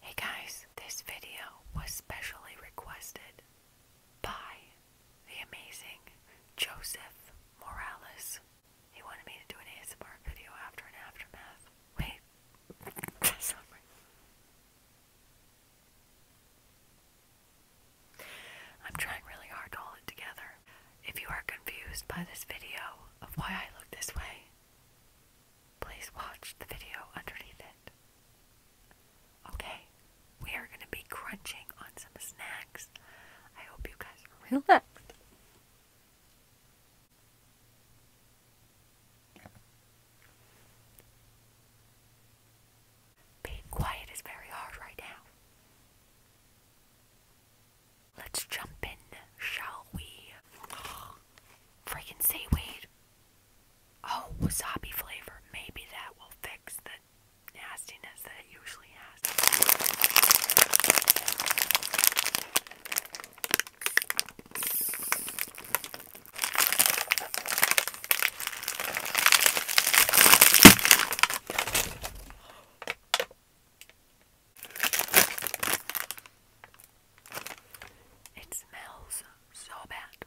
Hey guys, this video was specially requested by the amazing Joseph Morales. He wanted me to do an ASMR video after an aftermath. Wait. Sorry. I'm trying really hard to hold it together. If you are confused by this video of why I look this way, please watch the video underneath it. Okay, we are going to be crunching on some snacks. I hope you guys relax. Being quiet is very hard right now. Let's jump in, shall we? Freaking seaweed. Oh, wasabi flavor. Maybe that will fix the nastiness that it usually has. It smells so bad.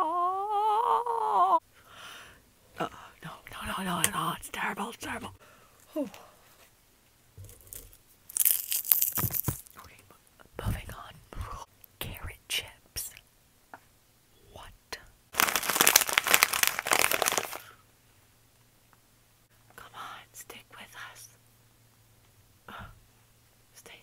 Oh. Uh, no, no, no, no, no, it's terrible, it's terrible. Oh. Okay, moving on. Carrot chips. What? Come on, stick with us. stay.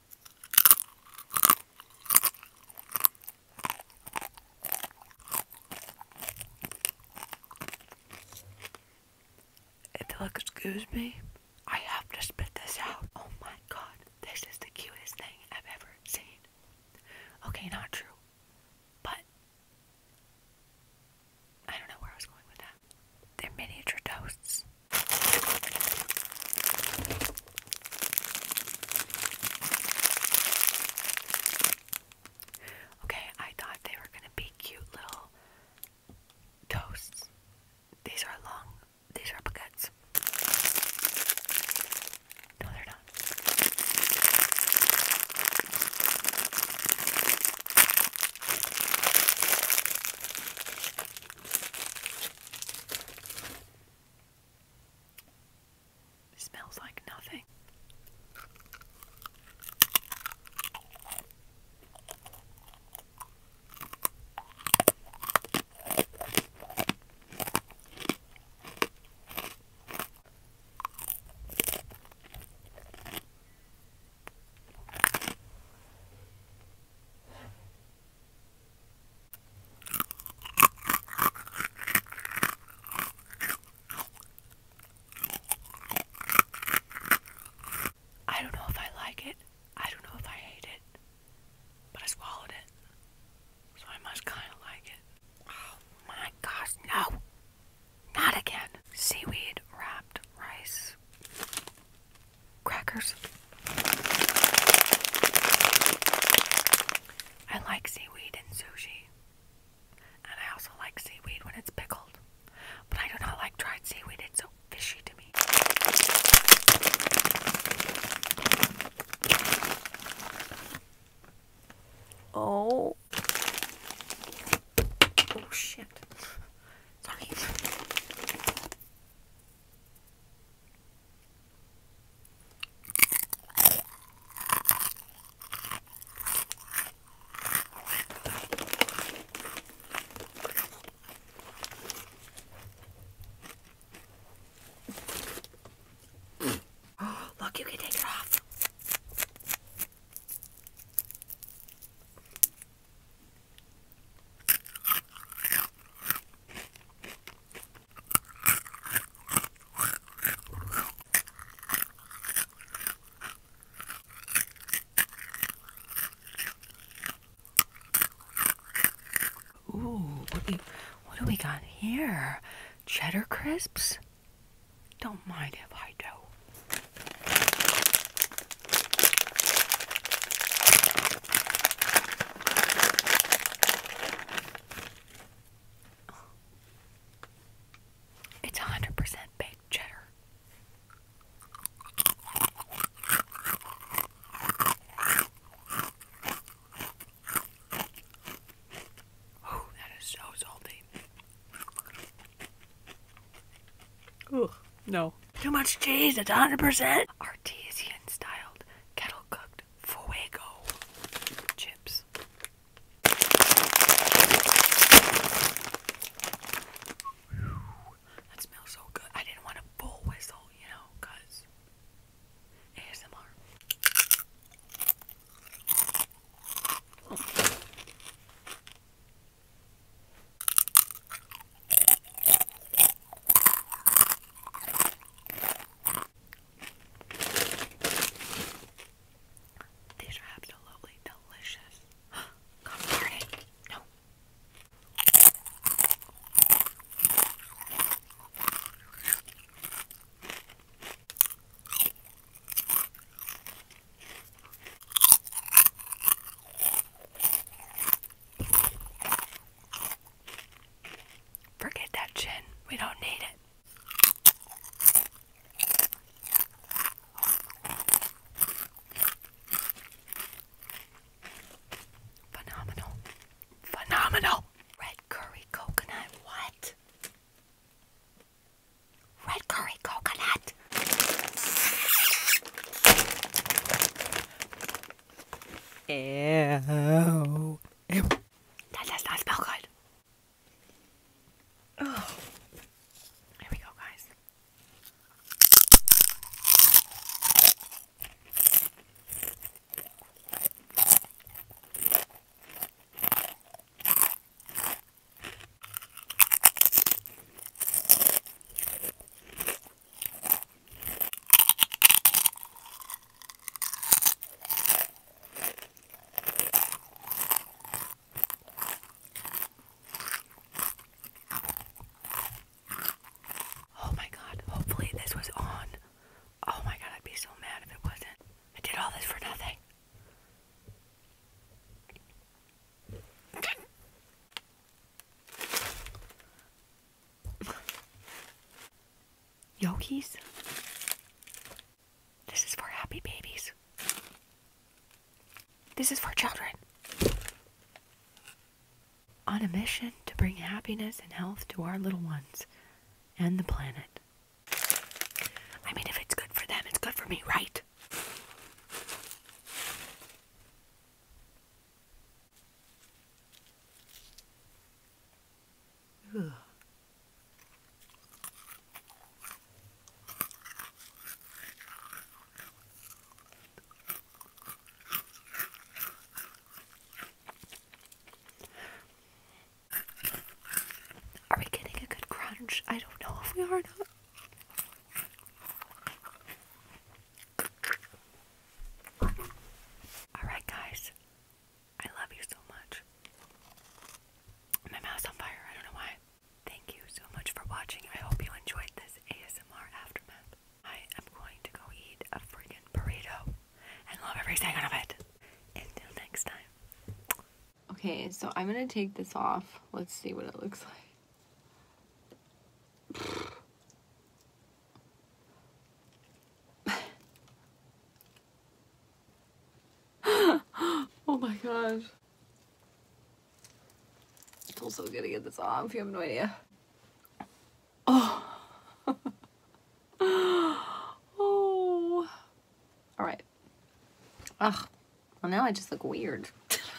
excuse me. I have to spit this out. Oh my god, this is the cutest thing I've ever seen. Okay, not true. But I don't know where I was going with that. They're miniature toasts. Okay, I thought they were gonna be cute little toasts. These are long, these are baguettes. No, they're not smells like nothing. I don't know if I like it. I don't know if I hate it. But I swallowed it. So I must kind of like it. Oh my gosh, no! Not again! Seaweed wrapped rice crackers. I like seaweed and sushi. And I also like seaweed when it's pickled. But I do not like dried seaweed, it's so fishy to me. Oh. Oh shit. Sorry. Look, you can take it off. Ooh, what do, you, what do we got here? Cheddar crisps? Don't mind if I do. It's 100% baked cheddar. Oh, that is so salty. Ugh. No. Too much cheese, it's 100%. artisan styled, kettle cooked, fuego chips. that smells so good. I didn't want a bull whistle, you know, ASMR. These are absolutely delicious. Come on it. No. Forget that chin. We don't need it. Phenomenal. Phenomenal. Red curry coconut. What? Red curry coconut. Ew. That does not smell good. Oh. Here we go, guys. Oh my god, hopefully this was on. Oh my god, I'd be so mad if it wasn't. I did all this for nothing. Yogis? This is for happy babies. This is for children. On a mission to bring happiness and health to our little ones and the planet. I mean, if it's good for them, it's good for me, right? Are we getting a good crunch? I don't know if we are or not. Alright, guys. I love you so much. My mouth's on fire. I don't know why. Thank you so much for watching. I hope you enjoyed this ASMR aftermath. I am going to go eat a friggin burrito and love every second of it. Until next time. Okay, so I'm going to take this off. Let's see what it looks like. oh my god! I feel so good to get this off. You have no idea. Oh. oh. All right. Ugh. Well, now I just look weird.